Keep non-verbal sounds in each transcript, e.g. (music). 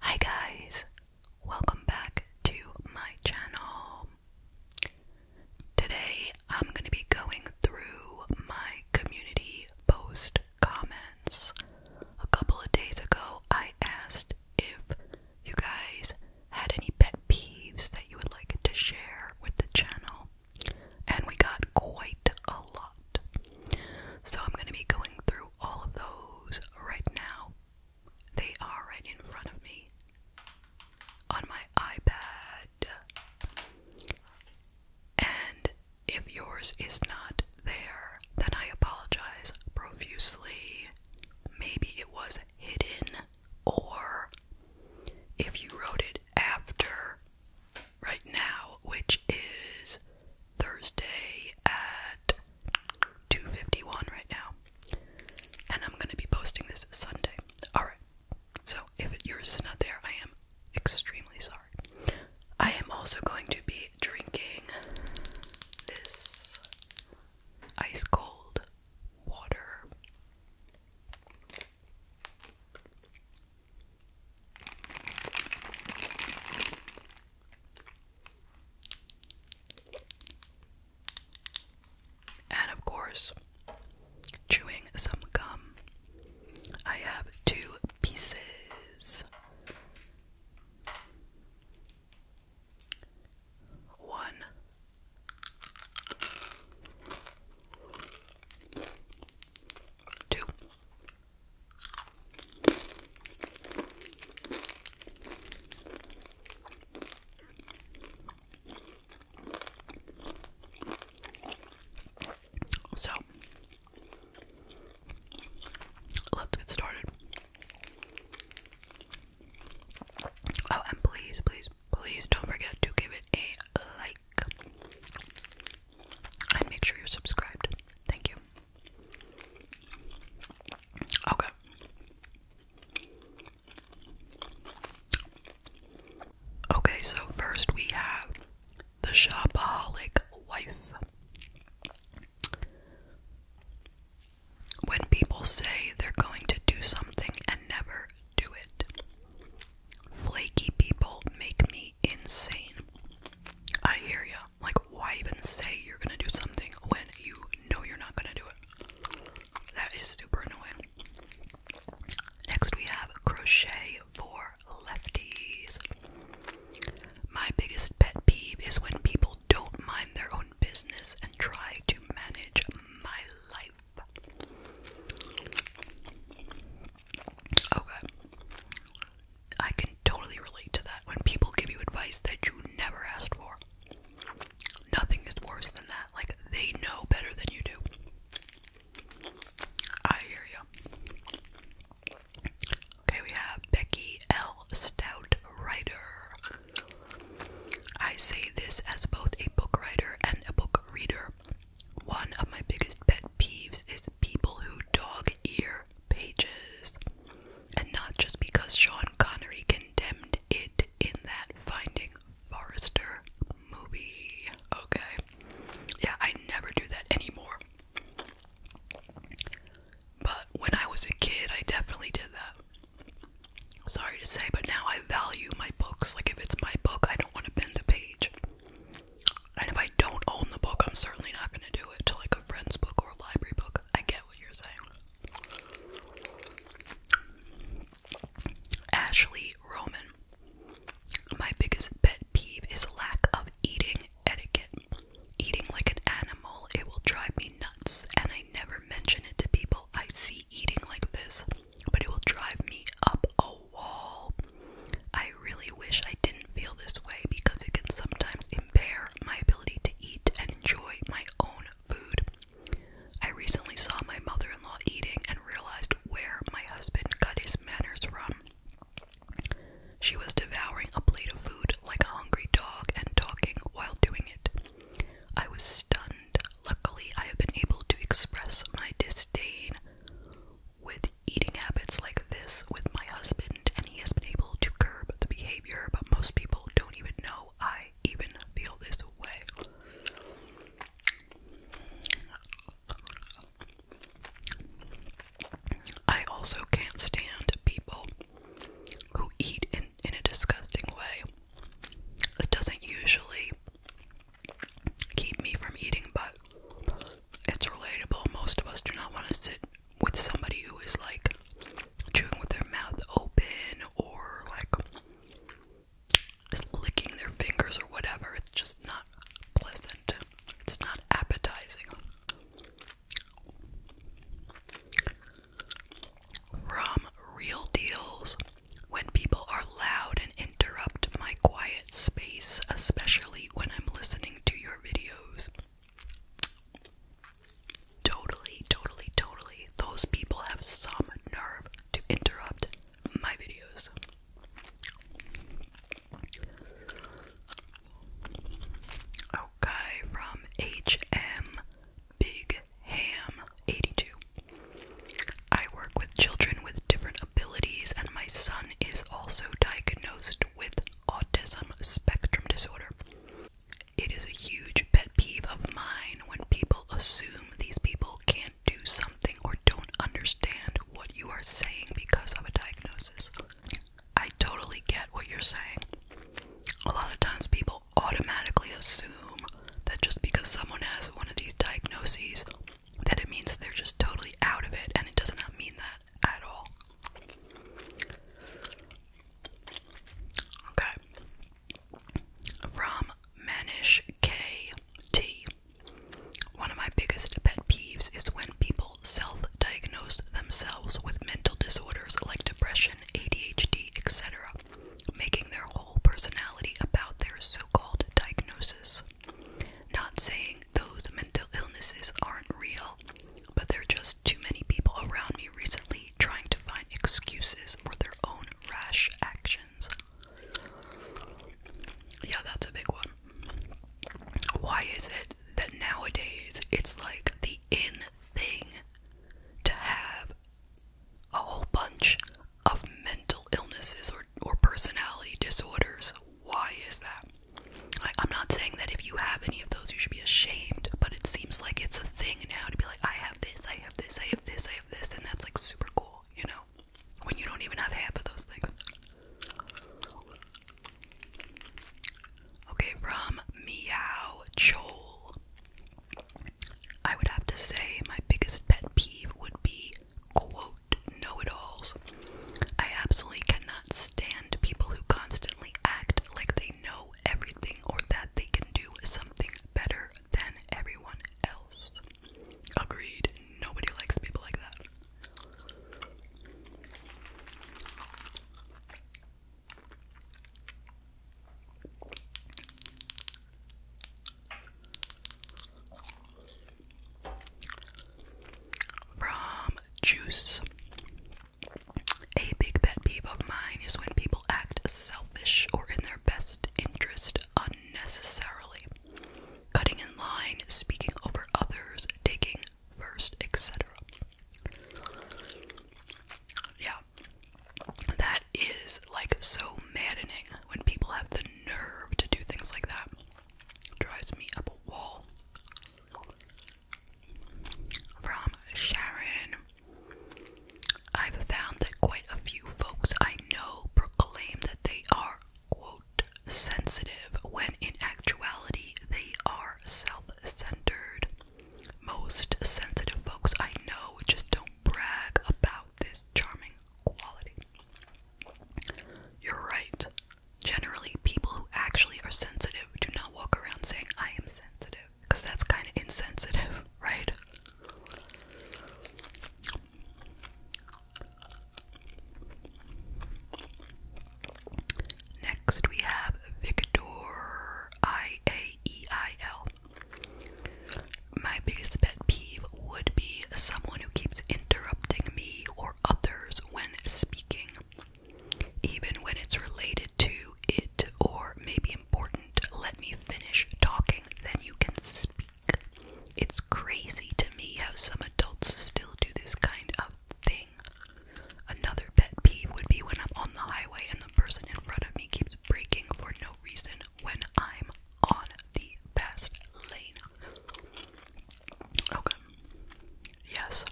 Hi guys, welcome back to my channel. Today I'm going to be going through my community post comments. A couple of days ago, I asked if you guys had any pet peeves that you would like to share with the channel, and we got quite a lot. So I'm going to be going through all of those right now. They are right in front of me on my iPad. And if yours is not there, then I apologize profusely. Maybe it was hidden, or if you wrote it after right now, which is Thursday at 2:51 right now. And I'm going to be posting this Sunday. All right. So, if yours is not there, I am extremely sorry. I am also going to be drinking this ice cold water. And of course, chewing some gum. I have two pieces. One. Two. So let's get started. Oh, and please, please, please don't forget to give it a like and make sure you're subscribed. Thank you. Okay. Okay, so first we have the shopaholic wife. When people say they're going to do something and never do it, flaky people make me insane. I hear ya. Like, why even say you're gonna do something when you know you're not gonna do it? That is super annoying. Next, we have crochet for lefties. My biggest pet peeve is when people don't mind their own business and try to manage my life. Okay. I can totally relate to that when people give you advice that you never asked for. Nothing is worse than that. Like, they know better than you do. I hear you. Okay, we have Becky L. Stout, writer. I say this as both a book writer and a book reader. One of my biggest pet peeves is people who dog ear pages. And not just because Sean Connery condemned it in that Finding Forrester movie. Okay. Yeah, I never do that anymore. But when I was a kid, I definitely did that. Sorry to say, but now I value my books. Like, if it's my book, I don't want to bend the page. And if I don't own the book, I'm certainly not going to do it to like a friend's book or a library book. I get what you're saying. Ashley Roman. My biggest pet peeve is lack of eating etiquette. Eating like an animal, it will drive me nuts, and I never mention it to people I see eating like this, but it will drive me up a wall. I really wish I didn't feel this way because it can sometimes impair my ability to eat and enjoy my own food. I recently saw my mother in law eating and realized where my husband got his manners from. She was devouring a plate of food like a hungry dog and talking while doing it. I was stunned. Luckily, I have been able to express my disdain with eating habits like this with my husband, and he has been able to curb the behavior, but most people don't even know I even feel this way. I also can't stand people who eat in, in a disgusting way. It doesn't usually keep me from eating, but it's relatable. Most of us do not want to sit with somebody who is like chewing with their mouth open or like licking their fingers or whatever. It's just not pleasant. It's not appetizing. From Real Deals, when people are loud and interrupt my quiet space, especially when I'm listening to your videos, Totally, totally, totally. Those people have some nerve to interrupt my videos. Okay, from HM Big Ham 82. I work with children with different abilities, and my son is also diagnosed with autism spectrum disorder. It is a huge pet peeve of mine when people assume these people can't do something or don't understand what you are saying because of a diagnosis. I totally get what you're saying. A lot of times people automatically assume that just because someone has one of these diagnoses that it means they're just totally out of it and it does not mean that at all. Okay. From Manish KT. One of my biggest pet peeves is when people self diagnose themselves with mental disorders like depression, ADHD, etc., making their whole personality about their so called diagnosis. Not saying those mental illnesses aren't real, but there are just too many people around me recently trying to find excuses for their own rash actions. Yeah, that's a big one. Why is it that nowadays it's like the in thing to have a whole bunch of mental illnesses or, or personality disorders? Why is that? I, am not saying that if you have any of those, you should be ashamed, but it seems like it's a thing now to be like, I have this, I have this, I have this, I have this, and that's like super cool, you know? When you don't even have half of those things. Okay, from Meow Chol. I would have to say my biggest pet peeve would be quote know it alls. I absolutely cannot stand people who constantly act like they know everything or that they can do something better than everyone else. Agreed. Nobody likes people like that. From Juice. A big pet peeve of mine is when people act selfish or in their best interest unnecessarily. Cutting in line, speaking over others, taking first, etc. Yeah. That is like so maddening when people have the nerve to do things like that. Drives me up a wall. From Sharon I've found that quite a few folks I know proclaim that they are, quote, sensitive when in actuality they are self centered. Most sensitive folks I know just don't brag about this charming quality. You're right, generally people who actually are sensitive do not walk around saying I am sensitive because that's kind of insensitive, (laughs) right? Next, we have Victor I A E I L. My biggest pet peeve would be someone who keeps interrupting me or others when speaking. Even when it's related to it or maybe important, let me finish talking, then you can speak. It's crazy to me how some adults still do this kind of thing. Another pet peeve would be when I'm on the highway and the person in front of me keeps braking for no reason when I'm on the fast lane. Okay. Yes.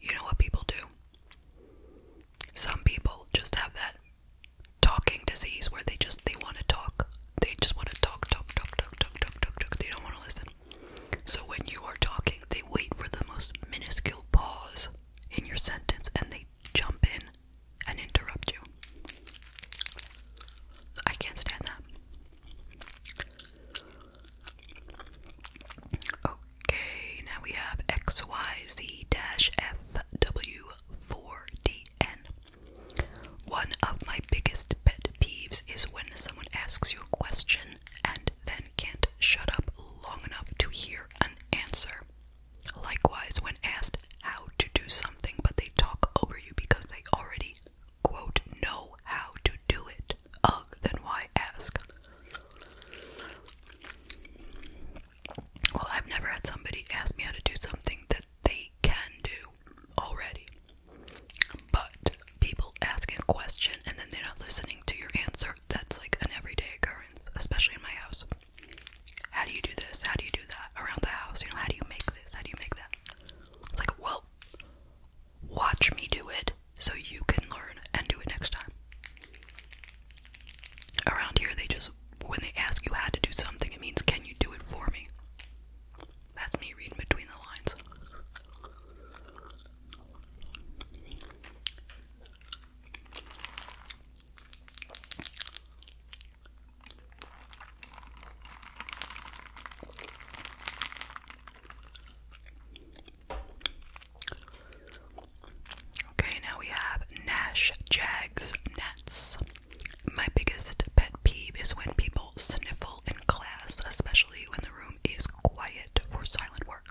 You know what people do? Some people just have that talking disease where they just they want to talk. They just want to talk, talk, talk, talk, talk, talk, talk, They don't want to listen. So when you are talking, they wait for the most minuscule pause in your sentence and they jump in and interrupt you. I can't stand that. Okay, now we have XYZ-FW4DN. One of my biggest pet peeves is when someone asks you a question and then can't shut up long enough to hear an answer. Likewise, when asked how to do something but they talk over you because they already know how to do it. Ugh, then why ask? Well, I've never had somebody ask me how to do something that they can do already. But people asking a question and then they're not listening to your answer, that's like an everyday occurrence, especially in my house. How do you do this? How do you do that? Around the house, you know, how do you make this? How do you make that? It's like, well, Watch me do it so you can learn and do it next time. Around here, they just, when they ask you how to do something, it means, can you do it for me? That's me reading between the lines. Okay, now we have Nash Jags Nets. My biggest pet peeve is when people sniffle in class, especially when the room is quiet for silent work.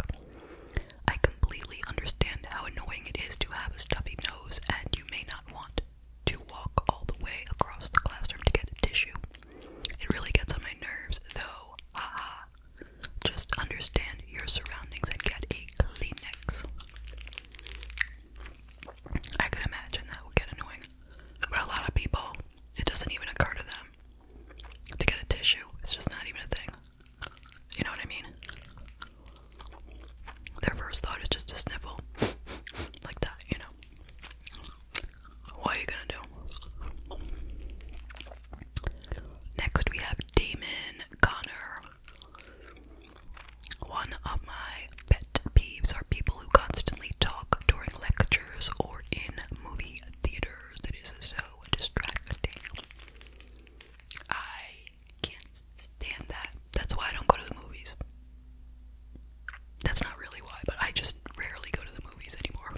I completely understand how annoying it is to have a stuffy nose, and you may not want to walk all the way across the classroom to get a tissue. It really gets on my nerves, though. Haha. just understand your surroundings and get a Kleenex. I can imagine that would get annoying. But a lot of people, it doesn't even occur to them to get a tissue. It's just not even a thing. You know what I mean? Their first thought is just to sniffle. (laughs) Like that, you know. What are you gonna do? Next, we have Damon Connor. One of my pet peeves are people who constantly talk during lectures or in movie theaters. It is so distracting. I can't stand that. That's why I don't go to the movies. That's not really why, but I just rarely go to the movies anymore.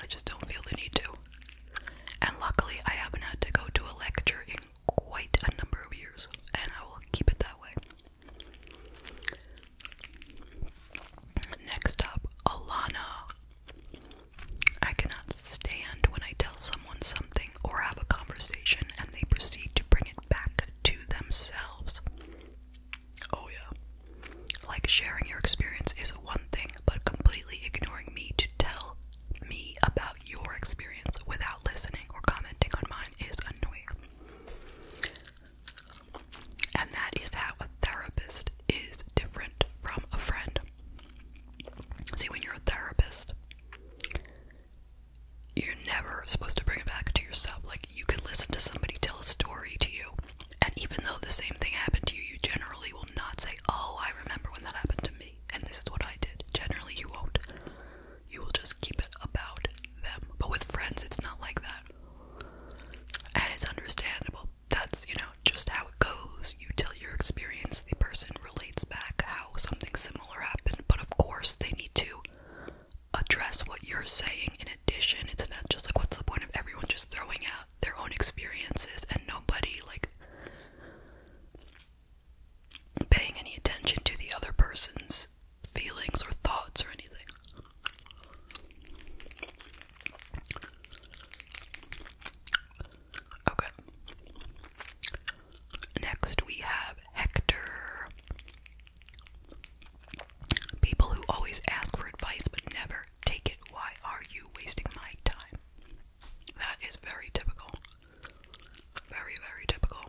I just don't feel the need to. And luckily, I haven't had to go to a lecture in quite a number of years, and I will keep it that way. Next up, Alana. I cannot stand when I tell someone something or have a conversation and they proceed to bring it back to themselves. Oh, yeah. Like, sharing your experience is one thing, but completely ignoring me to tell me about your experience without listening or commenting on mine is annoying. And that is how a therapist is different from a friend. See, when you're a therapist, you're never supposed to bring it back to yourself. Like, you can listen to somebody tell a story to you, and even though the same thing happened to you, you generally will not say, Oh, I remember when that happened to me, and this is what I did. Generally, you won't. You will just keep it about them. But with friends, it's not like that. And it's understandable. That's, you know, just how it goes. You tell your experience, the person relates back how something similar happened. But of course, they need to address what you're saying in it's not just like what's the point of everyone just throwing out their own experiences and nobody like paying any attention to the other person's feelings or thoughts or anything. Okay. Next we have Hector. People who always ask for advice but never take it. Why are you wasting my time? That is very typical. Very, very typical.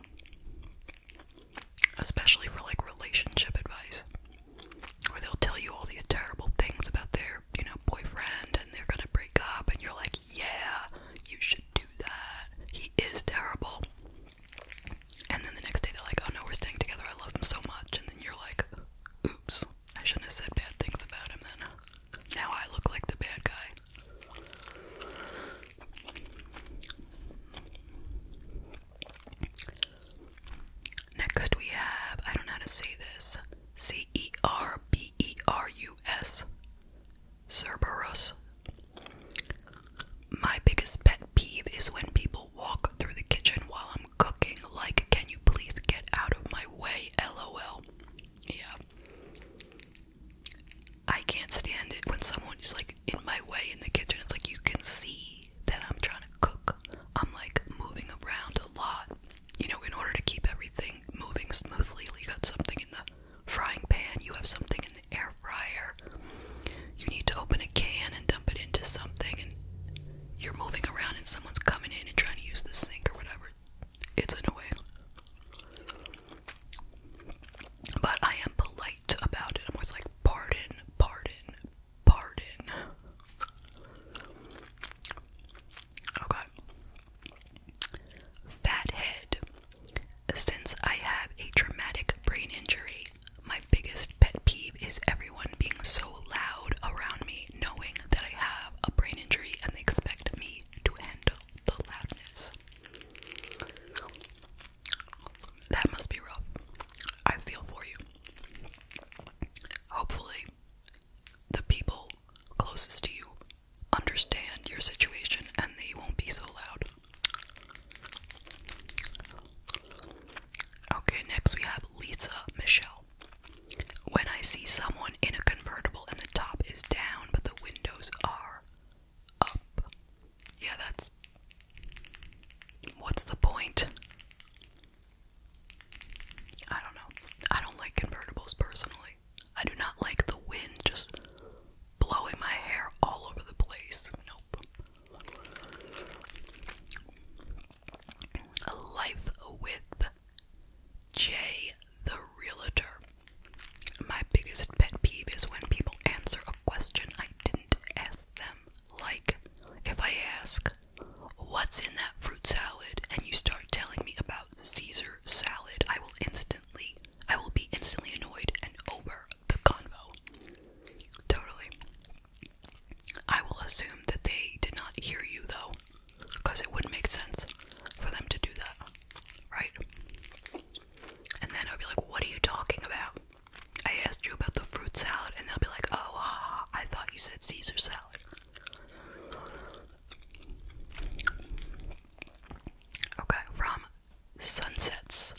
Especially for like relationship advice. Where they'll tell you all these terrible things about their, you know, boyfriend and they're gonna break up and you're like, yeah, you should do that. He is terrible and then the next day they're like, oh no, we're staying together, I love him so much, and then you're like, oops, I shouldn't have said bad things about him then. Now I look like the bad guy. Next we have, I don't know how to say this, C E R B E R U S. Cerberus. My biggest pet peeve is when people walk through the kitchen while I'm cooking. Like, can you please get out of my way? LOL. Yeah. I can't stand it when someone is like in my way in the kitchen. It's like you can see that I'm trying to cook. I'm like moving around a lot, you know, in order to keep everything moving smoothly. You got something in the frying pan, you have something in the air fryer. You need to open a can and dump it into something, and you're moving around, and someone's coming in and trying to use the sink or whatever. It's annoying. But I am polite about it. I'm always like, pardon, pardon, pardon. Okay. Fathead. Since I have a traumatic brain injury, my biggest pet peeve is everyone being so loud around me, knowing that I have a brain injury and they expect me to handle the loudness. That must be rough. I feel for you. Hopefully, the people closest to you understand your situation and they won't be so loud. Okay, next we have Lisa Michelle. When I see someone in a convertible and the top is down but the windows are up. Yeah, that's. What's the point? I don't know. I don't like convertibles personally. I do not like the wind just blowing my hair all over the place. Nope. Life with Jay the Realtor. My biggest pet peeve is when people answer a question I didn't ask them. Like, if I ask, What's in that fruit salad? and you start telling me about Caesar salad, I will instantly, I will be instantly annoyed and over the convo. Totally. I will assume that they did not hear you though, because it wouldn't make sense for them to do that, right? And then I'll be like, What are you talking about? I asked you about the fruit salad, and they'll be like, Oh, ah, I thought you said Caesar salad. Okay, from sunsets.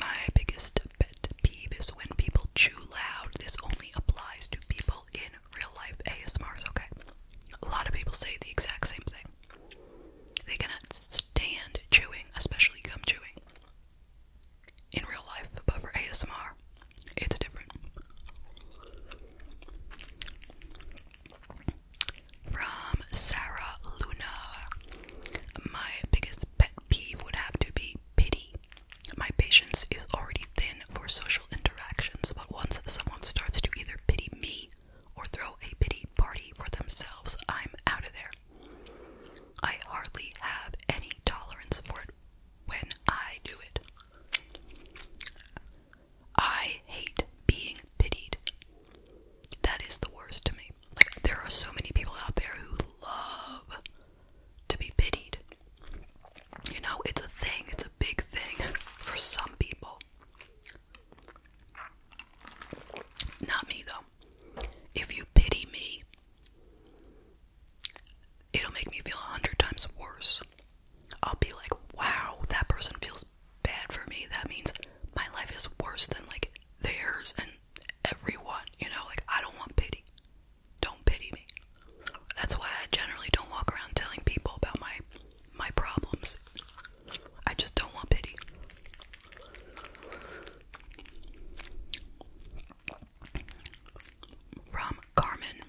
My biggest pet peeve is when people chew loud. This only applies to people in real life ASMRs, okay? A lot of people say the exact same thing. They cannot stand chewing, especially gum chewing. In real life, but for ASMR, it's different. From Sarah Luna, my biggest pet peeve would have to be pity. My patience is already thin for social interactions, but once someone starts to either pity me or throw a pity party for themselves, I'm out of there. I hardly have any tolerance for it when I do it. I hate being pitied. That is the worst to me. Like, there are so many people out there who love to be pitied. You know, it's a thing, it's a big thing for some people. Not me, though. If you pity me, it'll make me feel a hundred times worse. I'll be like, wow, that person feels bad for me. That means my life is worse than like theirs, and everyone, you know, like I don't want pity. Don't pity me. That's why I generally don't walk around telling people about my my problems. I just don't want pity. From Carmen,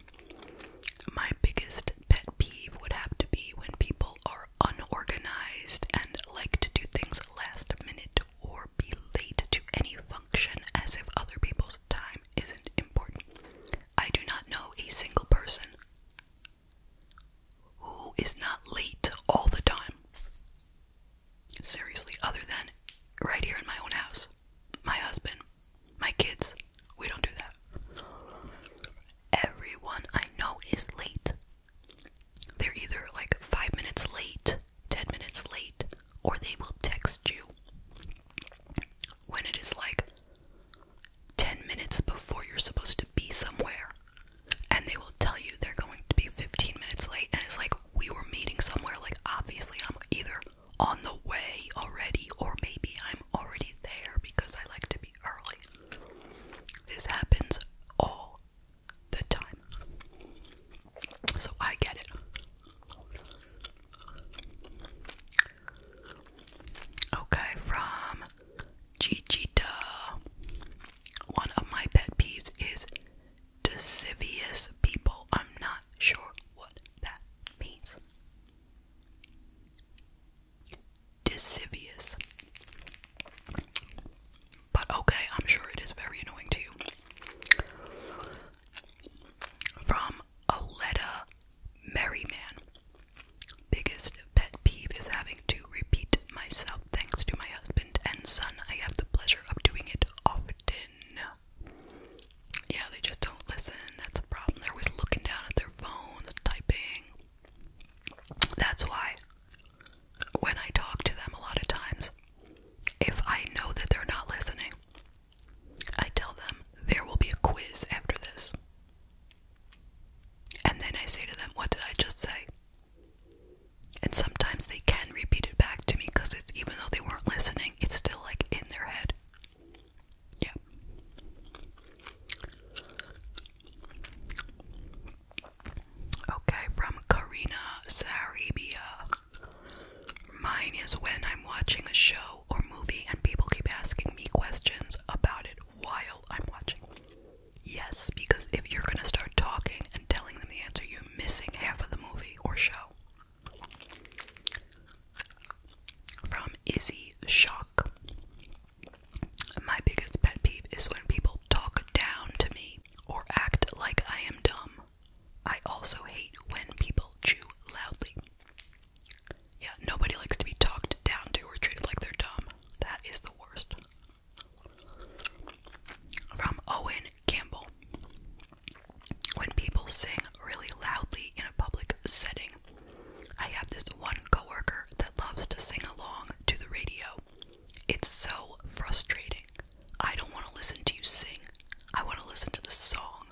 my biggest pet peeve would have to be when people are unorganized and like to do things last minute or be late to any function as if other people's time isn't important. I do not know a single person who is not late all the time. Seriously, other than right here in my own house, my husband, my kids, we don't do that. Everyone I know is late. They're either like five minutes late 10 minutes late, or they will text you when it is like 10 minutes before you're supposed to be somewhere, and they will tell you they're going to be 15 minutes late, and it's like we were meeting somewhere. Like, obviously, I'm either on the way already, or maybe I'm already there because I like to be early. This happens all the time. So I get it. Okay, from Gigita. One of my pet peeves is deceivious people. I'm not sure what that means. Deceivious. But okay, I'm sure it is very annoying to you. From Aletta Merryman. Biggest pet peeve is having to repeat myself. Thanks to my husband and son, I have the pleasure of doing it often. Yeah, they just don't listen. That's a problem. They're always looking down at their phone, typing. That's why when I talk to them a lot of times, if I know that they're not listening, I tell them there will be a quiz after this. And then I say to them, What did I just say? And sometimes they can repeat it back to me because it's even though they weren't listening, it's still like in their head. Yeah. Okay, from Karina Sarabia. Mine is when I'm watching a show or movie and people keep asking me questions about it while I'm watching. Yes, because if you're going to start talking and telling them the answer, you're missing half of the movie or show. From Izzy Shock. My biggest pet peeve is when people talk down to me or act like I am dumb. I also hate when people chew loudly. Yeah, nobody likes to be talked down to or treated like they're dumb. That is the worst. From Owen Campbell. When people sing really loudly in a public setting, I have this one coworker that loves to sing along to the radio. It's so frustrating. I don't want to listen to you sing. I want to listen to the song.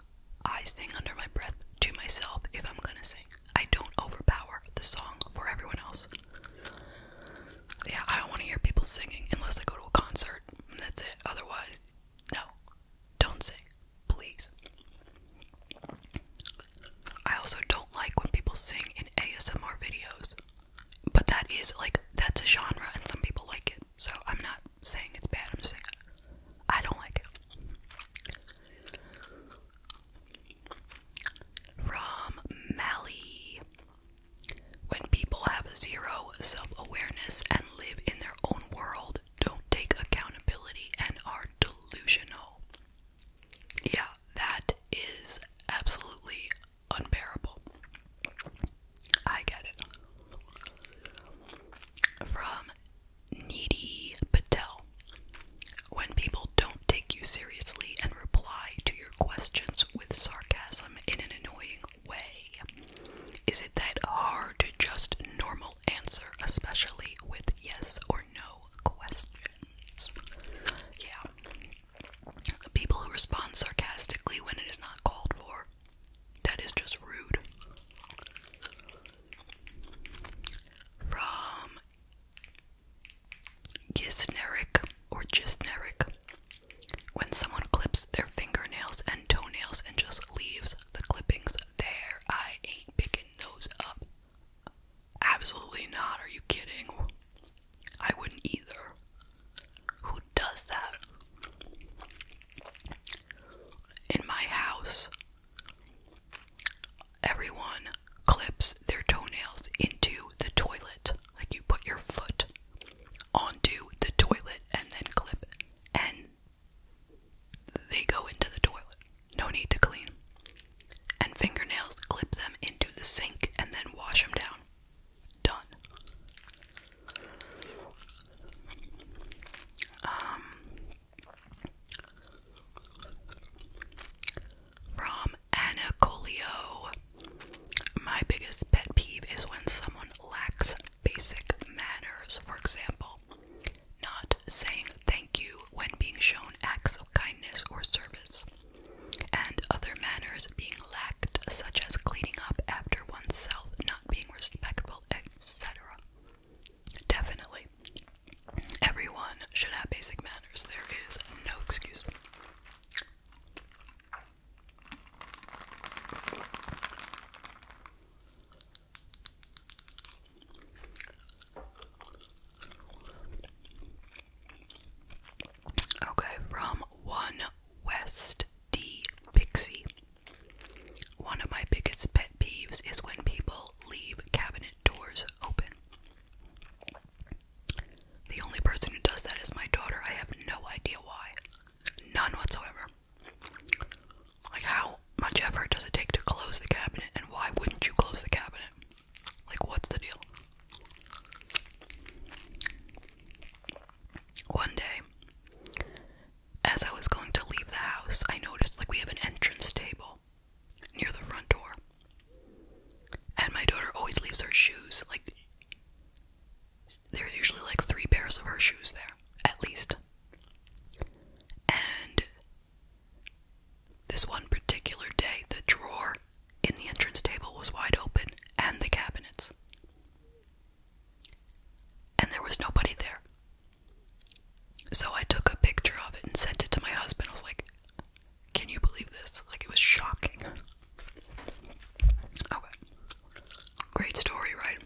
I sing under my breath to myself if I'm going to sing. I don't overpower the song for everyone else. Yeah, I don't want to hear people singing unless I go to a concert. That's it. Otherwise, no. Don't sing. Please. I also don't like when people sing in ASMR videos. But that is like that's a genre, and some people like it. So I'm not saying it's bad. I'm just saying I don't like it. From Mally, when people have zero self-awareness and live in their own world, don't take accountability and are delusional. Yeah, that is absolutely unbearable. I get it. From Needy Patel. When people don't take you seriously and reply to your questions with sarcasm in an annoying way, is it that hard to just normal answer, especially with yes or no questions? Yeah, People who respond sarcastically when it is not called for. That is just rude. From Gisneric or Gisneric. When someone clips their fingernails and toenails and just leaves the clippings there, I ain't picking those up. Absolutely not. Are you kidding? I wouldn't either. Who does that? In my house, everyone clips their toenails into the toilet. Like you put your foot onto the toilet and then clip, and they go into the toilet. No need to clean. And fingernails clip them into the sink and then wash them down done. Um, from Anna Colio, my biggest pet peeve is when someone lacks basic manners. For example, not saying thank you when being shown acts of kindness or service and other manners being lacked, such as cleaning up after oneself, not being respectful, etc. Definitely. Everyone should have basic manners. There is no excuse. Okay, from One West D. Pixie. One of my biggest pet peeves is when people leave cabinet doors open. The only person who does that is my daughter. I have no idea why. None whatsoever. Like, how much effort does it take to close the cabinet, and why wouldn't you close the cabinet? Like, what's the deal? One day, as I was going to leave the house, I noticed like we have an entrance table near the front door. And my daughter always leaves her shoes like there's usually like three pairs of her shoes there, at least. And this one particular day, the drawer in the entrance table was wide open and the cabinets. And there was nobody there. So I took a picture of it and sent it to my husband. I was like, can you believe this? Like, it was shocking. Okay. Great story, right?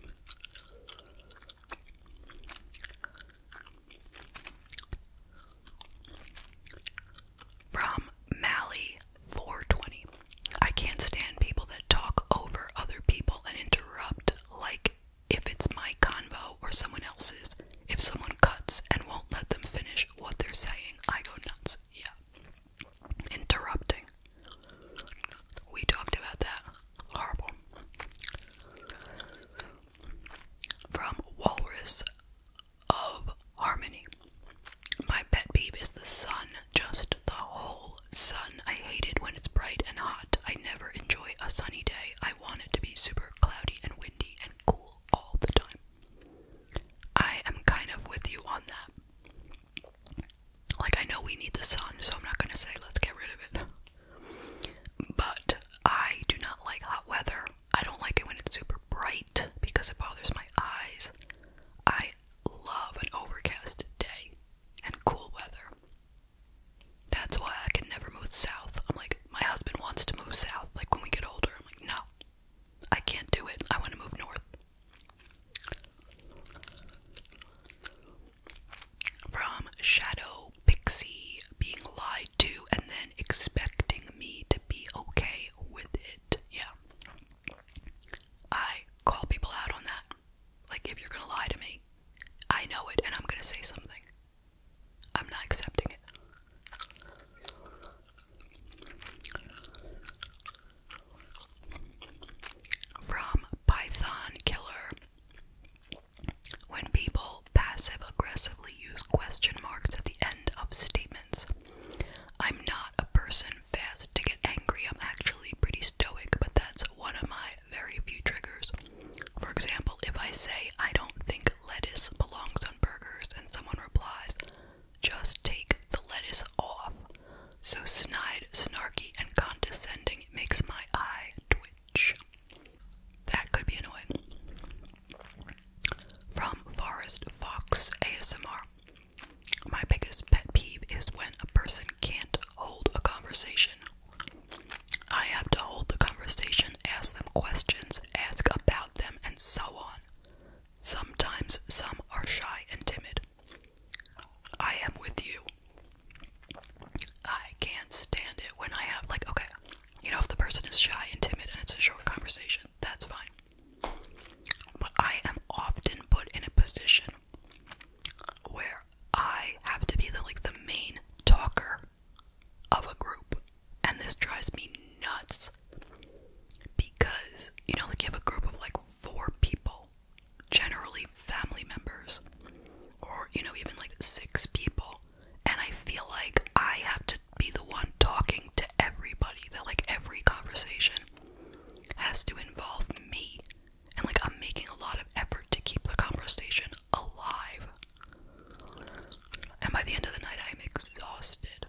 From Mally 420. I can't stand people that talk over other people and interrupt, like if it's my convo or someone else's. If someone cuts and won't let them finish what they're saying, I go nuts. Yeah. Interrupting. We talked about that. Horrible. From Walrus of Harmony. My pet peeve is the sun, just the whole sun. I hate it when it's bright and hot. I never enjoy a sunny day. I want it to be super cloudy and windy and cool all the time. I am kind of with you on that. Like, I know we need the sun, so I'm not gonna say let's get rid of it. But I do not like hot weather. I don't like it when it's super bright because it bothers my eyes. I love an overcast day and cool weather. That's why I can never move south. I'm like, my husband wants to move south, like when we get older. I'm like, no, I can't do it. I want to move north. From Shadow Pixie being lied to and then expecting me to be okay with it. Yeah. I call people out on that. Like, if you're gonna lie to me, I know it and I'm gonna say something. I'm not accepting it. From Python Killer When people passive aggressively use question marks at the end of statements. I'm not a person fast to get angry. I'm actually pretty stoic, but that's one of my very few triggers. For example, if I say I don't think lettuce belongs on burgers and someone replies, just take the lettuce off. So snide, snarky, and condescending makes my eye twitch. That could be annoying. From Forest Fox ASMR. My biggest pet peeve is when a person can't hold a conversation. I have to hold the conversation, ask them questions, ask about them, and so on. Sometimes some are shy and timid. I am with you. I can't stand it when I have, like, okay, you know, if the person is shy and timid and it's a short conversation, that's fine. But I am often put in a position where I have to be like the main talker of a group. And this drives me nuts because you know like you have a group of like four people, generally family members, or you know, even like six people, and I feel like I have to be the one talking to everybody that like every conversation has to involve me. And like, I'm making a lot of effort to keep the conversation alive. And by the end of the night, I'm exhausted.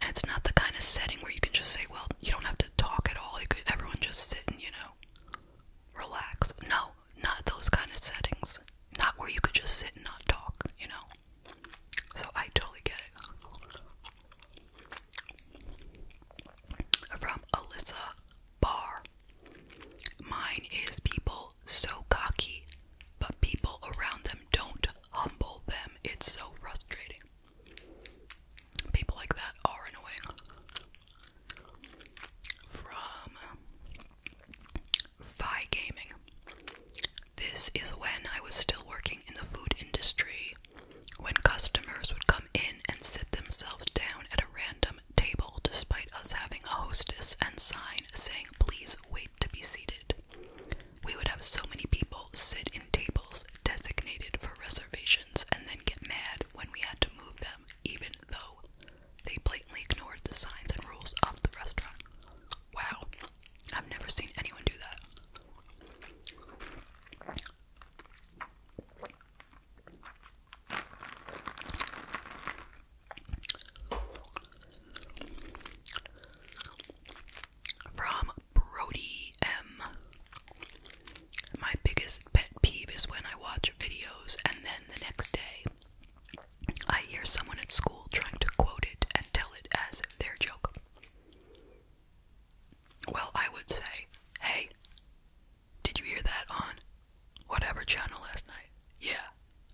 And it's not the kind of setting where you can just say, well, you don't have to talk at all. You could, everyone just sit and, you know, relax. No, not those kind of settings. Not where you could just sit and not talk, you know? So I totally get it. From Alyssa Barr. Mine is people so cocky, but people around them don't humble them. It's so frustrating. People like that are annoying. From Vi Gaming. This is when I was still working in the food industry, when customers would come in and sit themselves down at a random table despite us having a hostess and sign saying, please wait to be seated. We would have so many people sit in tables designated for reservations and then get mad when we had to move them, even though they blatantly ignored the signs and rules of the restaurant. Wow, I've never seen anyone do that. From Brody M. My biggest pet peeve is when I watch videos and then the next day I hear someone at school trying to quote it and tell it as their joke. Well, I would say, hey, did you hear that on whatever channel last night? Yeah,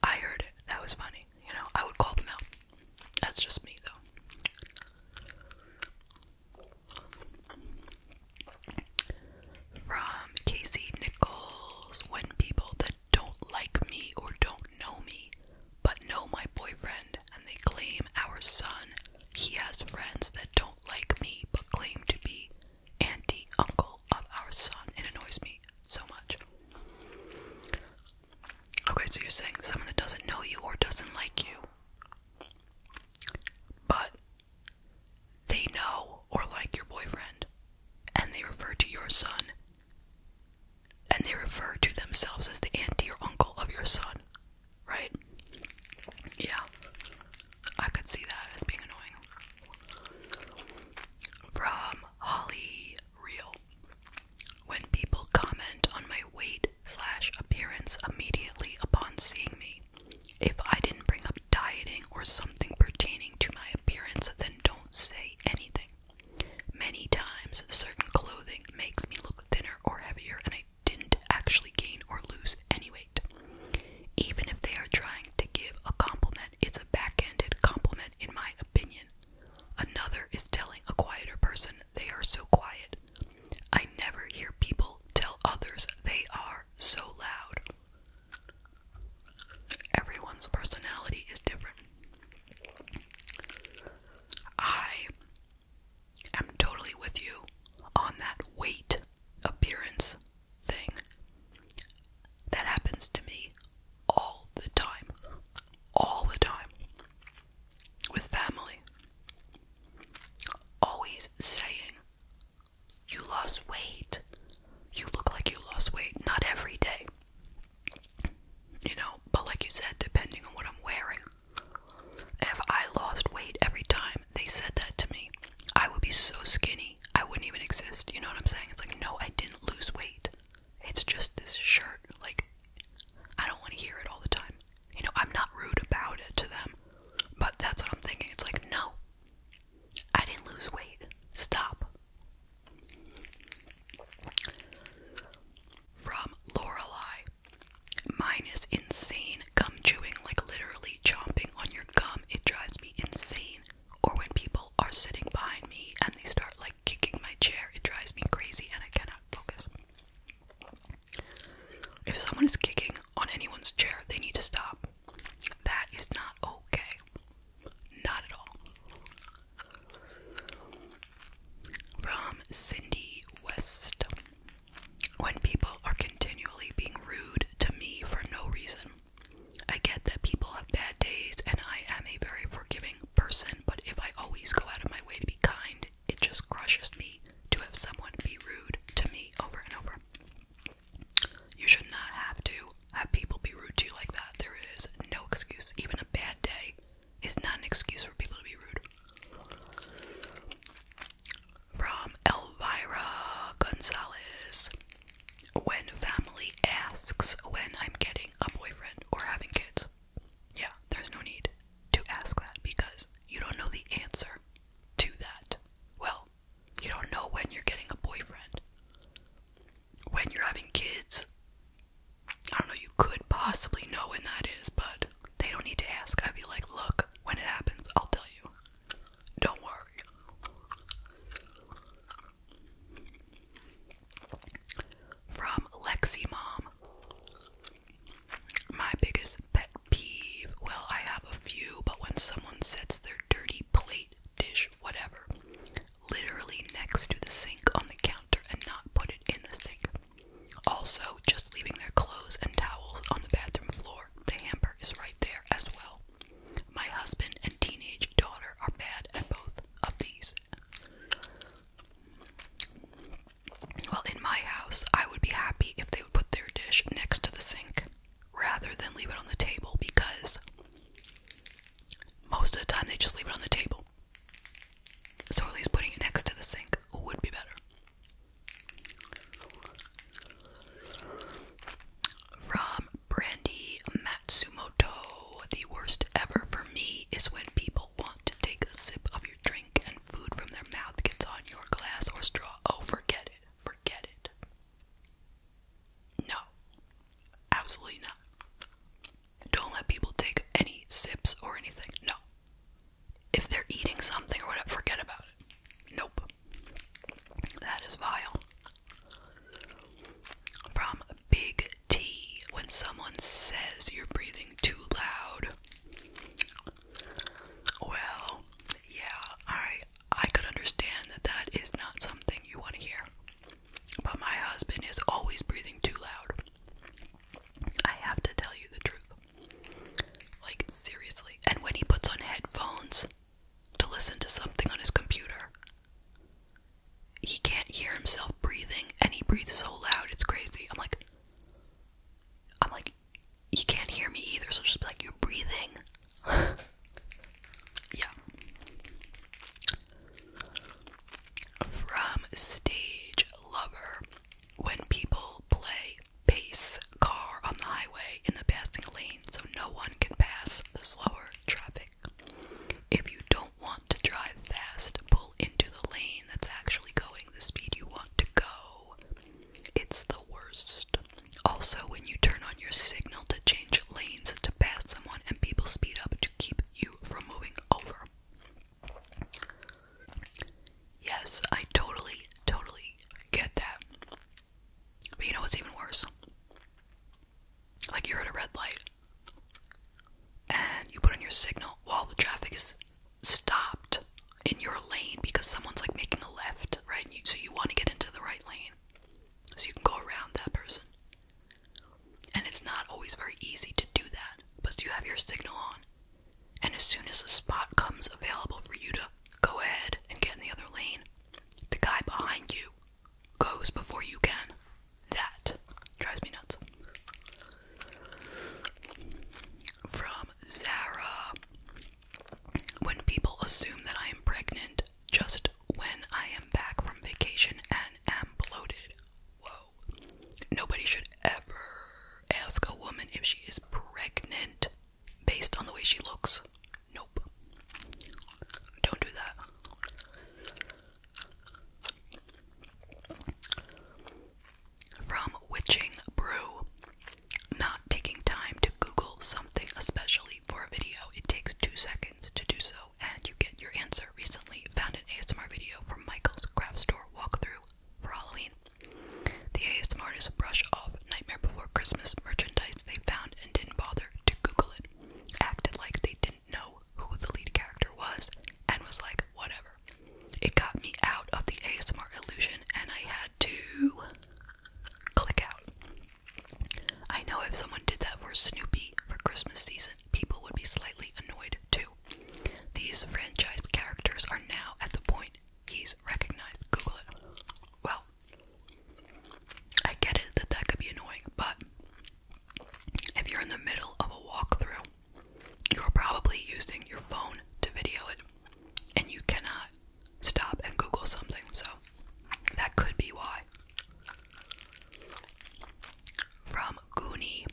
I heard it. That was funny. You know, I would call them out. That's just me, though. From Casey Nichols, when people that don't like me or don't know me, but know my boyfriend, and they claim our son. He has friends that don't like me, but claim to be auntie, uncle of our son. It annoys me so much. Okay, so you're saying someone that doesn't know you or doesn't like you, but they know or like your boyfriend, and they refer to your son and they refer to themselves as the aunt or uncle of your son, right? Yeah, I could see that as being annoying. From Holly Real. When people comment on my weight slash appearance immediately upon seeing me, if I didn't bring up dieting or something pertaining to my appearance, then don't say anything. Many times, certain clothing makes me look thinner or heavier, and I didn't actually gain or lose any weight. Even if they are trying to give a compliment, it's a backhanded compliment, in my opinion. Another is telling a quieter person they are so quiet. I never hear people tell others they are so loud. Everyone's personality is different. I am totally with you on that weight appearance thing. That happens to me all the time. All the time. With family. Always saying, You lost weight. You look like you lost weight. Not every day. You know, but like you said, depending on what I'm wearing, if I lost weight every time they said that to me, I would be so skinny, I wouldn't even exist. You know what I'm saying? It's like, no, I didn't lose weight. It's just this shirt. Like, I don't want to hear it all the time. You know, I'm not rude about it to them, but that's what I'm thinking. It's like, no, I didn't lose weight. Stop. From Lorelei. Mine is insane gum chewing, like literally chomping on your gum. It drives me insane. Or when people are sitting behind me and they start like kicking my chair, it drives me crazy and I cannot focus. If someone is kicking on anyone's chair, they need to stop. That is not okay. Not at all. From Cindy West. When people are continually being rude to me for no reason, I get that people have bad days and I am a very forgiving person, but if I always go out of my way to be kind, it just crushes me to have someone be rude to me over and over. You should not have to have people be rude to you like that. There is no excuse. Even a bad day is not an excuse for people to be rude. From Elvira Gonzalez. When family asks when I'm getting a boyfriend or having kids. Yeah, there's no need to ask that because you don't know the answer to that. Well, you don't know when you're getting a boyfriend. When you're having kids, I don't know, you could possibly know when that is, but they don't need to ask. I'd be like, look, when it happens, I'll tell you. Don't worry. From Lexi Mom. My biggest pet peeve. Well, I have a few, but when someone sets their dirty plate, dish, whatever, literally next to the sink on the counter and not put it in the sink. Also, just leaving their clothes and towels on the bathroom floor, the hamper is right there as well. My husband and teenage daughter are bad at both of these. Well, in my house, I would be happy if they would put their dish next to the sink rather than leave it on the table because most of the time they just leave it on the table. So at least putting it next to the sink would be better. From Brandy Matsumoto, the worst ever for me is when people want to take a sip of your drink and food from their mouth gets on your glass or straw. Oh, forget it. Forget it. No. Absolutely not. Don't let people take any sips or anything. No. If they're eating something or whatever, forget about it. Nope. That is vile. From Big T, when someone says you're breathing too loud. Well, yeah, I I could understand that that is not something you want to hear. But my husband is always breathing too loud. I have to tell you the truth. Like, seriously. And when he puts on headphones to listen to something on his computer, he can't hear himself breathing and he breathes so loud, it's crazy. I'm like, I'm like, you can't hear me either, so just be like, you're breathing. (laughs) yeah. From Stage Lover When people play pace car on the highway in the passing lane so no one can pass the slower traffic. If you don't want to drive fast, pull into the lane that's actually going the speed you want to go. It's the worst. Also, when you turn on your signal to change lanes to pass someone and people speed up to keep you from moving over. Yes, I totally, totally get that. But you know what's even worse? Like you're at a red light and you put on your signal while the traffic is stopped in your lane because someone's like making a left, right? so you want to get into the right lane so you can go around that person. And it's not always very easy to do that, but you have your signal on. And as soon as a spot comes available for you to go ahead and get in the other lane, the guy behind you goes before you can. That drives me nuts. From Zara When people assume that I am pregnant just when I am back from vacation and am bloated. Whoa nobody should ever ask a woman if she is pregnant based on the way she looks. Nope. Don't do that. From Witching Brew. Not taking time to Google something, especially for a video. It takes two seconds to do so, and you get your answer. Recently found an ASMR video from Michael's Craft Store Store walkthrough for Halloween. The ASMRtists brush off Nightmare Before Christmas merchandise they found and didn't bother to Google it, acted like they didn't know who the lead character was, and was like, whatever. It got me out of the ASMR illusion, and I had to click out. I know if someone did that for Snoopy for Christmas season, people would be slightly annoyed too. These franchise characters are now at the point he's recognized. Google it. Well, I get it that that could be annoying, but if you're in the middle of a walkthrough, you're probably using your phone to video it, and you cannot stop and Google something, so that could be why. From Goonie,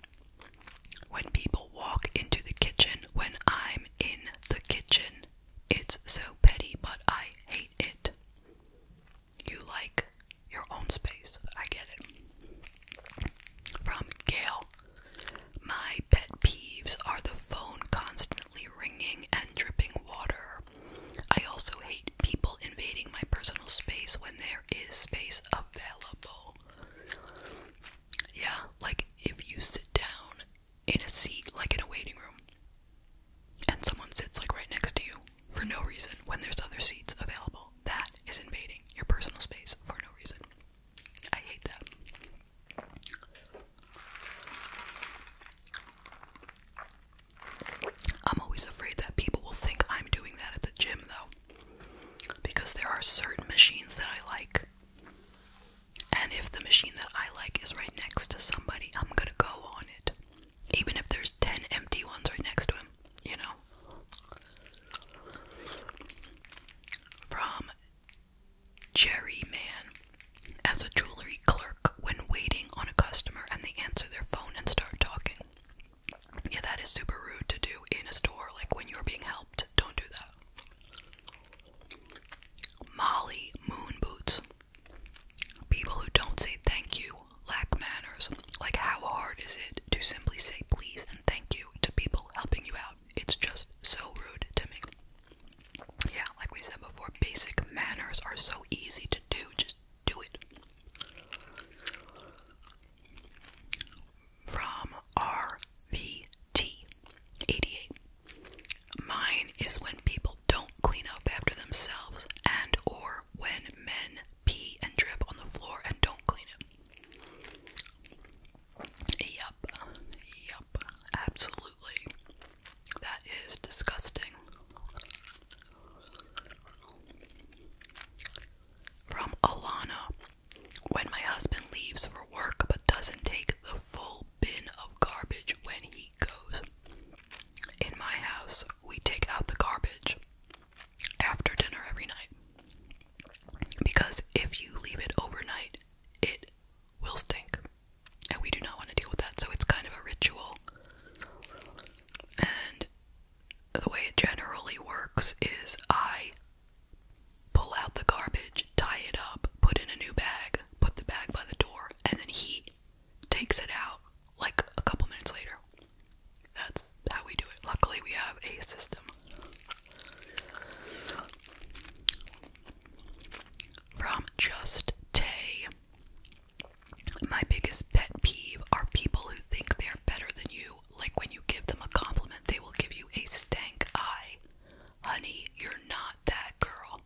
when people walk into the kitchen when I'm in the kitchen, it's so petty, but I hate it. You like your own space. I get it. From Gail My pet peeves are the phone constantly ringing and dripping water. I also hate people invading my personal space when there is space available. Yeah, like if you sit down in a seat, like in a waiting room, and someone sits like right next to you for no reason when there's other seats available, that is invading your personal space for no reason. I hate that. I'm always afraid that people will think I'm doing that at the gym, though because there are certain machines that I like. And if the machine that I like is right next to somebody, I'm gonna go on it. Even if there's 10 empty ones right next to him, you know? From Jerry Man as a jewelry clerk when waiting on a customer and they answer their phone and start talking. Yeah, that is super rude to do in a store, like when you're being helped. Don't do that. Molly Moon Boots. People who don't say thank you lack manners. Like, how hard is it to simply say please and thank you to people helping you out? It's just so rude to me. Yeah, like we said before, basic manners are so easy to do. Just do it from RVT 88. Mine is when people don't clean up after themselves and or when men pee and drip on the floor and don't clean it. Yup. Yup. Absolutely. That is disgusting. From Alana when my husband leaves for work but doesn't take the full bin of garbage when he goes. In my house, we take out the garbage after dinner every night. Because if you leave it overnight, it will stink. And we do not want to deal with that, so it's kind of a ritual. And the way it generally works is I pull out the garbage, tie it up, put in a new bag, put the bag by the door, and then he takes it out like a couple minutes later. That's how we do it. Luckily, we have a system. From Just Tay. My biggest pet peeve are people who think they're better than you like when you give them a compliment, they will give you a stank eye. Honey, you're not that girl.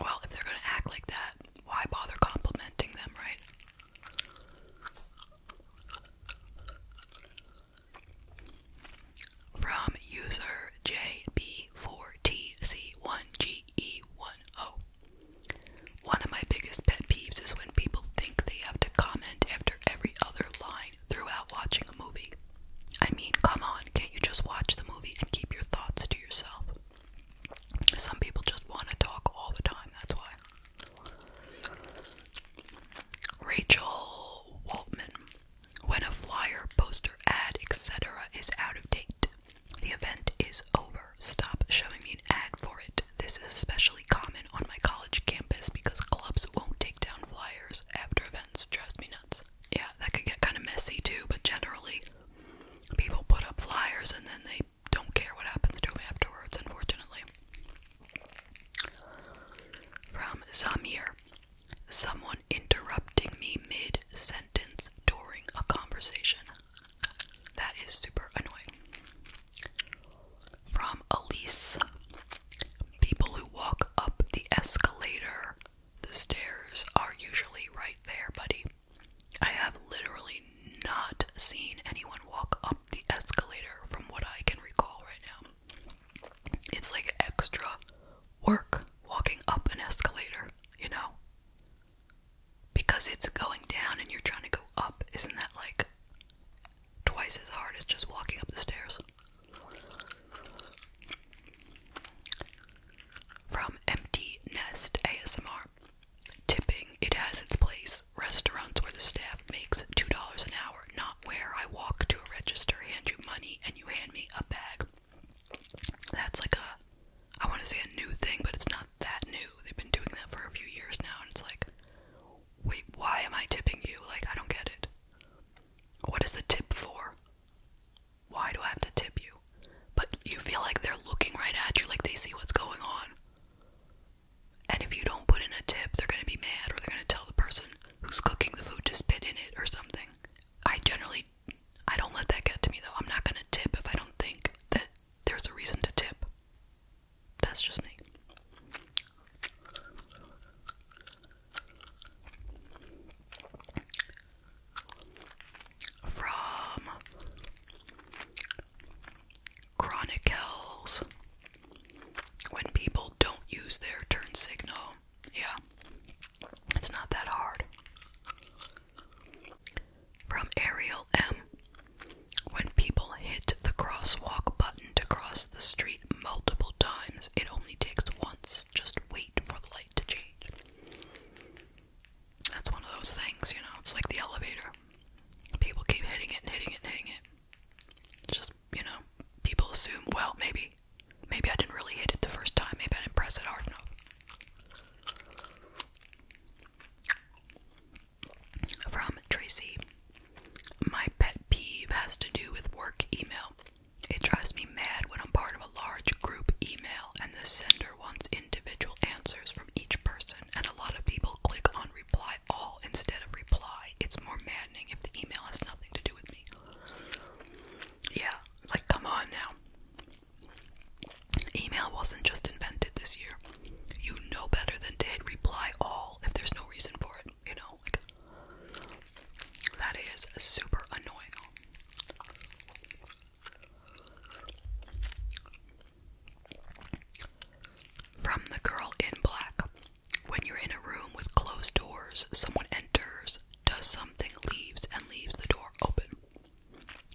Well, if they're gonna act like that, why bother complimenting them, right? From user JB4TC1GE10 one of my biggest pet peeves is when people think they have to comment after every other line throughout watching a movie. I mean, come on, can't you just watch the movie and keep your thoughts to yourself? Some people just want to talk all the time, that's why. Rachel Waltman. When a flyer, poster, ad, etc. is out of date, the event is over. Stop showing me an ad for it. This is especially common on my college campus because clubs won't take down flyers after events. Drives me nuts. Yeah, that could get kind of messy too, but generally, people put up flyers and then they don't care what happens to them afterwards, unfortunately. From Zamir. Someone interrupting me mid sentence during a conversation. That is super annoying. From Elise People who walk up the escalator, the stairs are usually right there, buddy. I have literally not seen anyone walk up the escalator from what I can recall right now. It's like extra work walking up an escalator, you know? because it's going down and you're trying to go up. Isn't that like twice as hard as just walking up the stairs? From Empty Nest ASMR. Tipping, it has its place. Restaurants where the staff makes $2 an hour, not where I walk to a register, hand you money, and you hand me a bag. That's like a, I want to say a new thing, but it's not that new. They've been doing that for a few years now, and it's like, wait, why am I tipping you? Like, I don't get it. What is the tip for? Why do I have to tip you? But you feel like they're looking right at you, like they see what's going on. And if you don't put in a tip, they're gonna be mad or they're gonna tell the person who's cooking the food to spit in it or something. I generally I don't let that get to me though. I'm not gonna tip if I don't think that there's a reason to tip. That's just me. From Chronicles when people don't use their turn signal. Yeah. It's not that hard from Ariel M. When people hit the crosswalk button to cross the street multiple times, it only takes once. Just wait for the light to change. That's one of those things, you know, it's like the elevator. People keep hitting it and hitting it and hitting it. just, you know, people assume, well, maybe maybe I didn't really hit it the first time, maybe I didn't press it hard enough. From Tracy. My pet peeve has to do with work email. It drives me mad when I'm part of a large group email and the sender wants individual answers from each person, and a lot of people click on reply all instead of reply. It's more maddening if the email has nothing to do with me. Yeah, like come on now. Email wasn't just invented this year. You know better than to reply all if there's no reason for it, you know? that is super annoying. From the girl in black. When you're in a room with closed doors, someone enters, does something, leaves, and leaves the door open.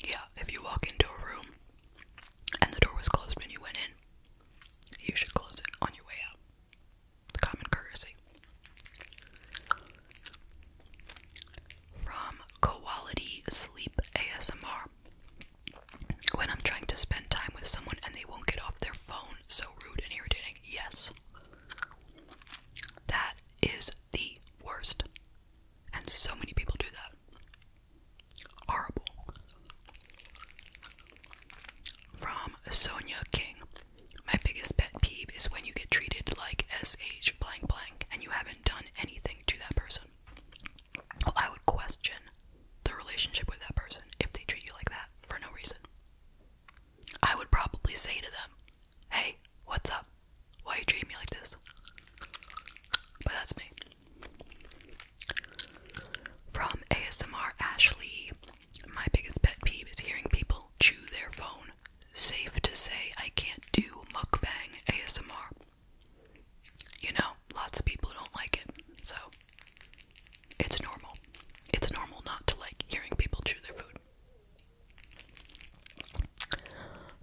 Yeah, if you walk into a room and the door was closed when you went in, you should close it on your way out. common courtesy. From Quality Sleep ASMR. When I'm trying to spend time with someone and they won't get off their phone, so rude and irritating. Yes. That is the worst. And so many people do that. Horrible. From Sonia King. My biggest pet peeve is when you get treated like SH blank blank and you haven't done anything to that person. I would question the relationship with that person if they treat you like that for no reason. I would probably say to them, Hey, what's up? Why you treating me like this? But that's me. From ASMR Ashley, my biggest pet peeve is hearing people chew their phone. Safe to say, I can't do mukbang ASMR. You know, lots of people don't like it, so it's normal. It's normal not to like hearing people chew their food.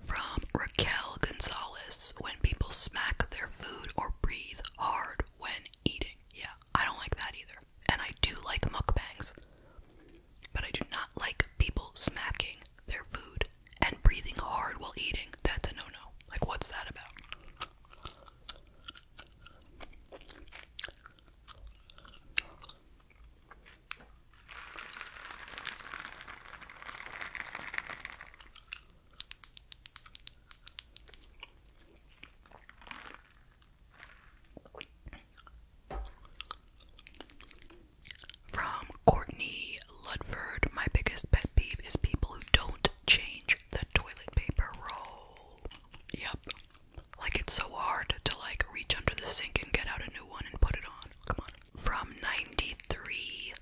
From Raquel Gonzalez when people smack their food or breathe hard when eating. Yeah, I don't like that either. And I do like mukbangs. But I do not like people smacking their food and breathing hard while eating. That's a no no. Like, what's that about? From Courtney Ludford, my biggest pet peeve is people who don't change the toilet paper roll. Yep. Like it's so hard to like reach under the sink and get out a new one and put it on. Come on. From 93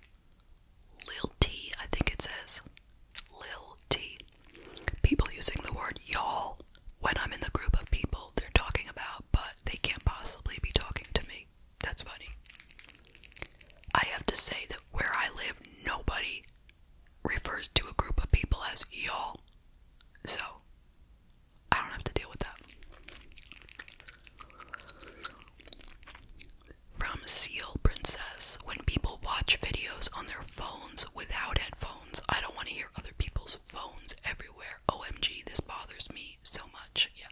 Lil T, I think it says. Lil T. People using the word y'all when I'm in the group of people they're talking about, but they can't possibly be talking to me. That's funny. I have to say that where I live, nobody refers to a group of people as y'all. So, I don't have to deal with that. From Seal Princess, when people watch videos on their phones without headphones, I don't want to hear other people's phones everywhere. OMG, this bothers me so much. Yeah,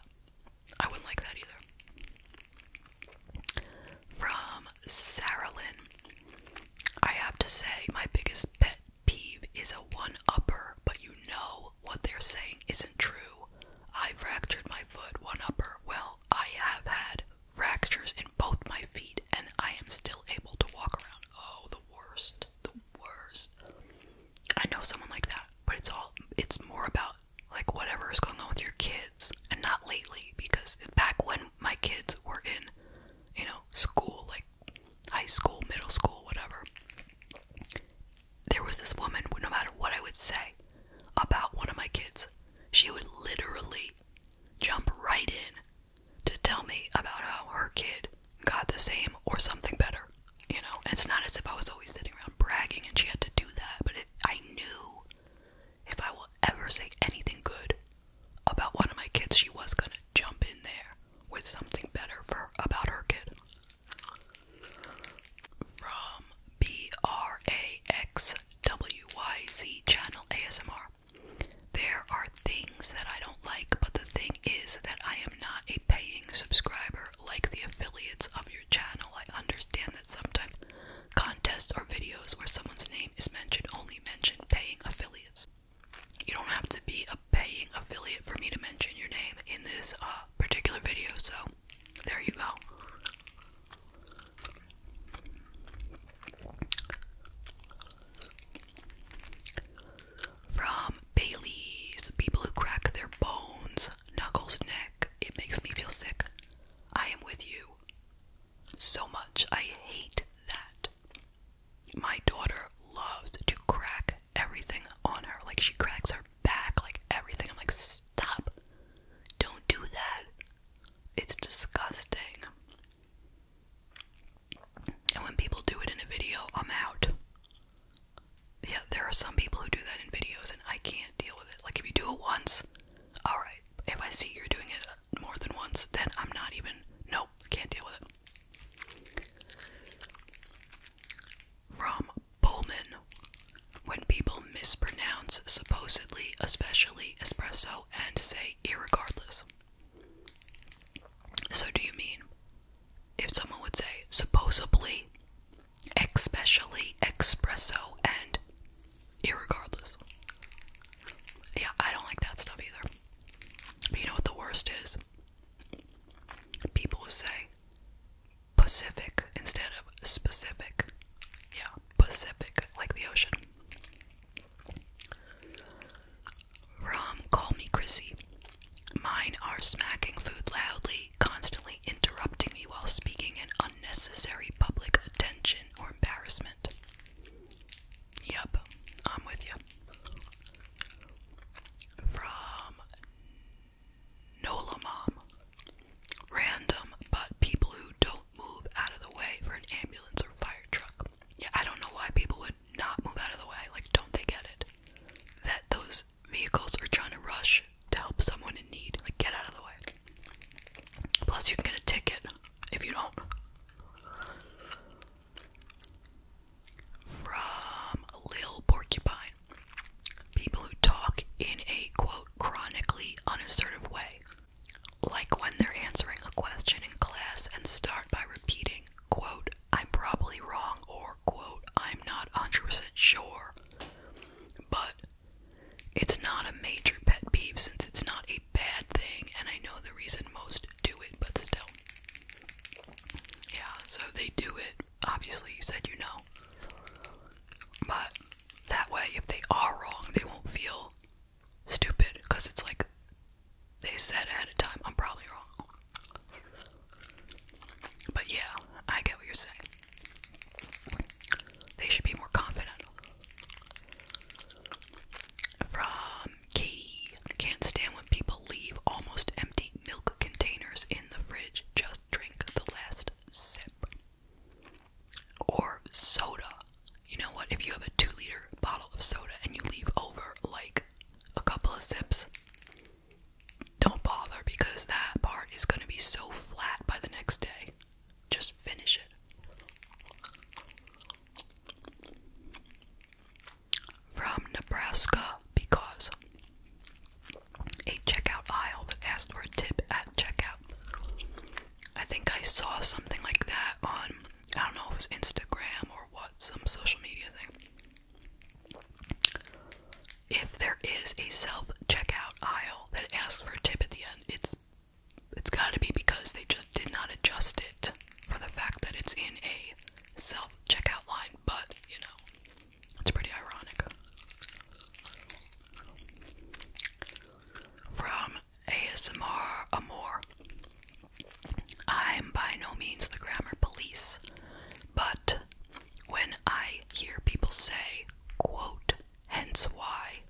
I wouldn't like that either. From Sarah Lynn, I have to say, my biggest pet peeve is a one upper, but you know what they're saying isn't true. I fractured my foot, one upper. Well, I have had fractures in both my feet and I am still able to walk around. Oh, the worst. The worst. I know someone like that, but it's all it's more about like whatever is going on with your kids and not lately because back when my kids were in, you know, school like high school, middle school, whatever there was this woman, no matter what I would say about one of my kids, she would literally jump right in to tell me about how her kid got the same or something better. You know, it's not as if I was always sitting around bragging and she had to do that, but I knew if I will ever say anything good about one of my kids, she was gonna jump in there with something better for about her kid from BRAXWYZ channel ASMR. There are things that I don't like, but the thing is that I am not a paying subscriber like the affiliates of your channel. I understand that sometimes contests or videos where someone's name is mentioned only mention paying affiliates. You don't have to be a paying affiliate for me to mention your name in this uh, particular video, so there you go. From Bailey's, people who crack their bones, knuckles, neck. It makes me feel sick. I am with you so much. I hate that. My daughter loves to crack everything on her. Like she cracks her back, like everything. I'm like, stop. Don't do that. It's disgusting. And when people do it in a video, I'm out. Yeah, there are some people who do that in videos, and I can't deal with it. Like, if you do it once, alright. If I see you're doing it uh, more than once, then I'm not even. Nope, can't deal with it. From Bowman. When people mispronounce supposedly, especially espresso, and say irregardless. So, do you mean if someone would say supposedly, especially, espresso, and irregardless? Yeah, I don't like that stuff either. But you know what the worst is? People who say Pacific instead of specific. Yeah, Pacific, like the ocean. Rom, call me Chrissy. Mine are smacking food loudly, constantly interrupting me while speaking, and unnecessary public attention or embarrassment. Yep, I'm with you. From Nola Mom. Random, but people who don't move out of the way for an ambulance or fire truck. Yeah, I don't know why people would not move out of the way. Like, don't they get it? That those vehicles are trying to rush to help someone in need. Like, get out of the way. Plus, you can get a ticket if you don't. From Lil Porcupine. People who talk in a quote chronically unassertive way, like when they're answering a question in class and start by repeating, quote, I'm probably wrong, or quote, I'm not 100% sure. But it's not a major pet peeve since it's not a bad thing, and I know the reason most do it, but still. Yeah, so they do it. Obviously, you said you know. But that way, if they are wrong, they won't feel stupid because it's like they said ahead of time, I'm probably wrong. But yeah, I get what you're saying. They should be more confident. From Katie, can't stand when people leave almost empty milk containers in the fridge. Just drink the last sip. Or soda. You know what? If you have a two liter bottle of soda and you leave over like a couple of sips, don't bother because that part is going to be so flat by the next day. Just finish it. From Nebraska because a checkout aisle that asked for a tip at checkout. I think I saw something like that on, I don't know if it was Instagram or what, some social media thing. If there is a self checkout aisle that asks for a tip at the end, it's it's got to be because they just did not adjust it for the fact that it's in a self checkout line, but you know, it's pretty ironic. From ASMR Amor. I'm by no means the grammar police, but when I hear people say, quote, hence why,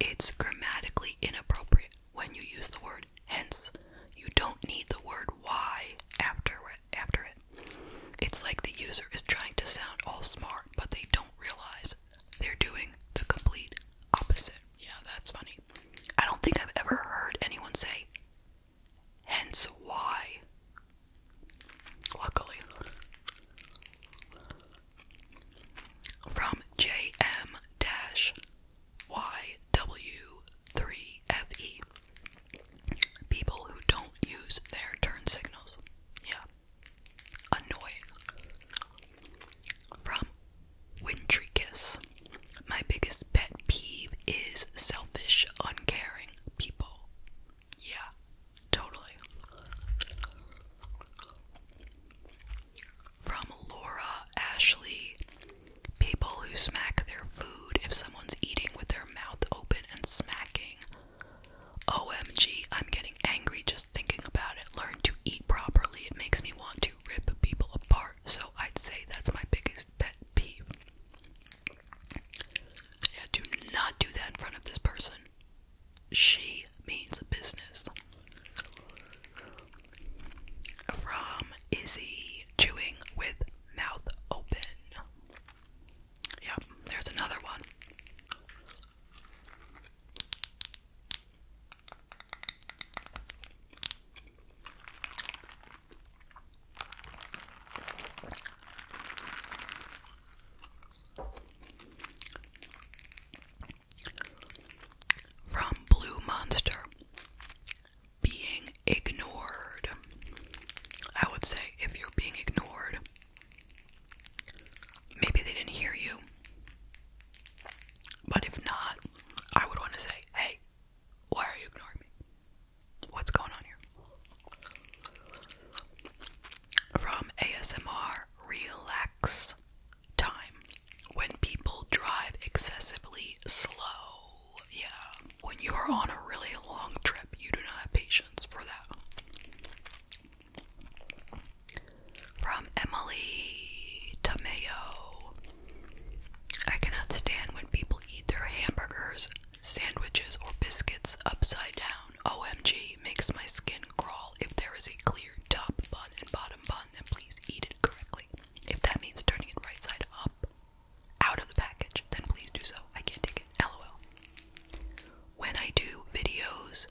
it's grammatically inappropriate when you use the word hence. You don't need the word why after, after it. It's like the user is trying to sound all smart, but they don't realize they're doing the complete opposite. Yeah, that's funny. I don't think I've ever heard anyone say, hence why. Luckily. From JM YW3FE. People who don't use their turn signals. Yeah. Annoying. From Wintry Kiss. My biggest pet peeve is selfish, uncaring people. Yeah, totally. From Laura Ashley. People who smack their food if someone's eating with their mouth open and smacking OMG, I'm getting angry just thinking about it. Learn to eat properly. It makes me want to rip people apart. So I'd say that's my biggest pet peeve. Yeah, do not do that in front of this person. She means business. From Izzy Chewing with Mouth Open. Yep, there's another one. From Blue Monster, being ignored. I would say if you're being ignored, Maybe they didn't hear you. But if not, I would want to say, hey, why are you ignoring me? What's going on here? From ASMR Relax Time. When people drive excessively slow. Yeah. When you are on a really long trip, you do not have patience for that. From Emily Tomeo. I cannot stand when people eat their hamburgers, sandwiches, or biscuits upside down. OMG makes my skin crawl. If there is a clear top bun and bottom bun, then please eat it correctly. If that means turning it right side up out of the package, then please do so. I can't take it. LOL. When I do videos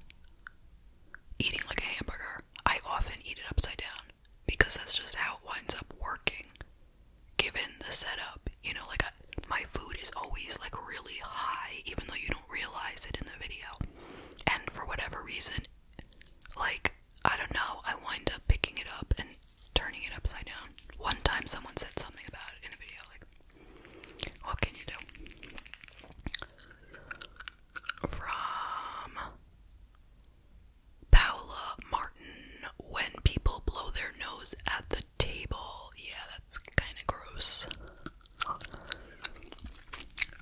eating like a hamburger, I often eat it upside down because that's just how it winds up working given the setup. You know, like my food is always like really high even though you don't realize it in the video. And for whatever reason, like I don't know, I wind up picking it up and turning it upside down. One time someone said something about it in a video like what can you do? From Paula Martin, when people blow their nose at the table. Yeah, that's kind of gross.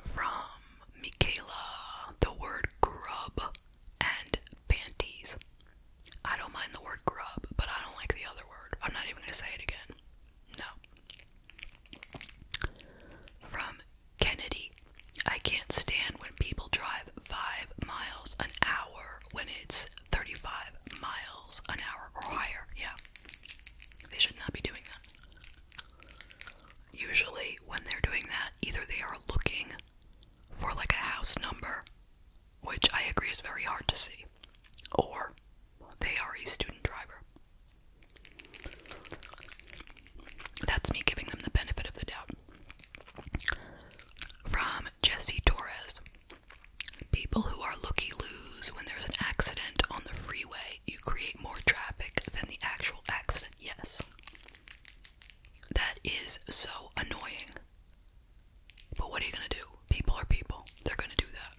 From Michaela, the word grub and panties. I don't mind the word grub, but I don't like the other word. I'm not even going to say it again. No. From Kennedy. I can't stand when people drive five miles an hour when it's 35 miles an hour or higher. Yeah. They should not be doing that. Usually, when they're doing that, either they are looking for like a house number which I agree is very hard to see, or they are a student driver. That's me giving them the benefit of the doubt. From Jesse Torres People who are lucky loos when there's an accident on the freeway, you create more traffic than the actual accident. Yes. That is so annoying. But what are you gonna do? People are people. They're gonna do that.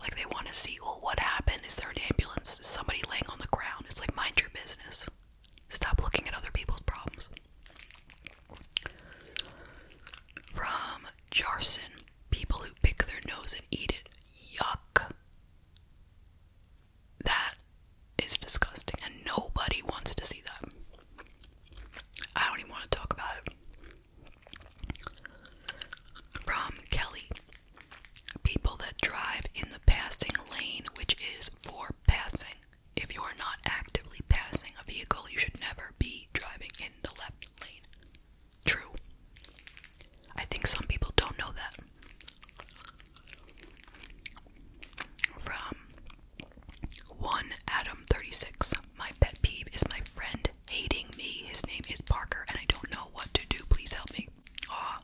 Like they want to see, well, what happened? Is there an ambulance? Is somebody laying on the ground? It's like mind your business. Stop looking at other people's problems. From Jarson, people who pick their nose and eat it. Yuck. That is disgusting, and nobody wants to see that. I don't even want to talk about it. From Kelly People that drive in the passing lane, which is for passing. If you are not actively passing a vehicle, you should never be driving in the left lane. True. I think some people don't know that. From one Adam 36. My pet peeve is my friend hating me. His name is Parker and I don't know what to do. Please help me. Aw,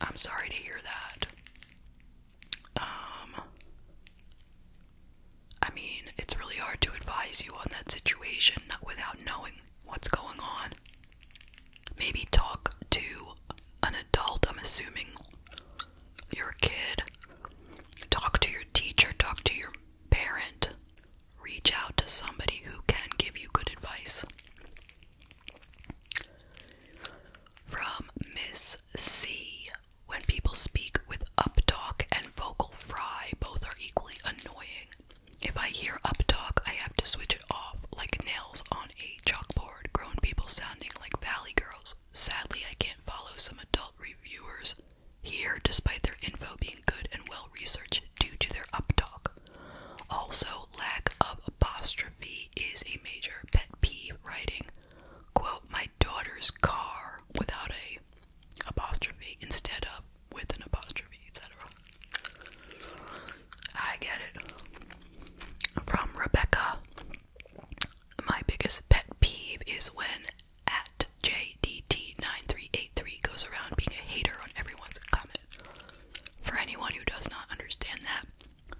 I'm sorry to hear that. Um I mean, it's really hard to advise you on that situation without knowing what's going on. Maybe talk to an adult, I'm assuming you're a kid. Talk to your teacher, talk to your parent, reach out to somebody who can give you good advice. From Miss C. When people speak with uptalk and vocal fry, both are equally annoying. If I hear uptalk, I have to switch it off like nails on a chalkboard. Grown people sounding like valley girls Sadly, I can't follow some adult reviewers here despite their info being good and well researched due to their uptalk. Also, lack of apostrophe is a major pet peeve writing. Quote, my daughter's car without a apostrophe instead of with an apostrophe, etc. I get it. From Rebecca. My biggest pet peeve is when at JDT9383 goes around being a hater on everyone's comment. For anyone who does not understand that,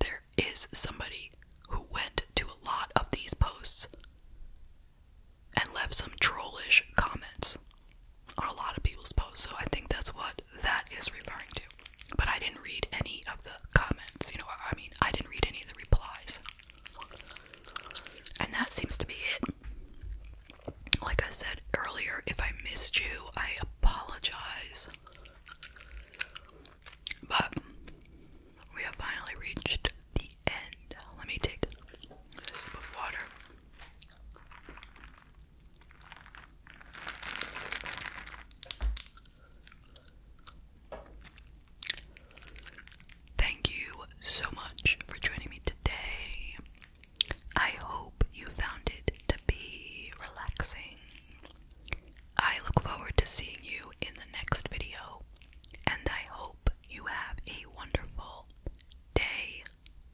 there is somebody who went to a lot of these posts and left some trollish comments on a lot of people's posts. So I think that's what that is referring to. But I didn't read any of the comments, you know, I mean, I didn't read any of the replies. And that seems to be it. Like I said earlier, if I missed you, I apologize. But we have finally reached the end. Let me take a sip of water. Thank you so much for joining me today. I hope you found it to be relaxing. I look forward to seeing you in the next video, and I hope you have a wonderful day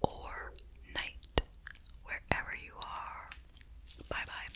or night wherever you are. Bye bye.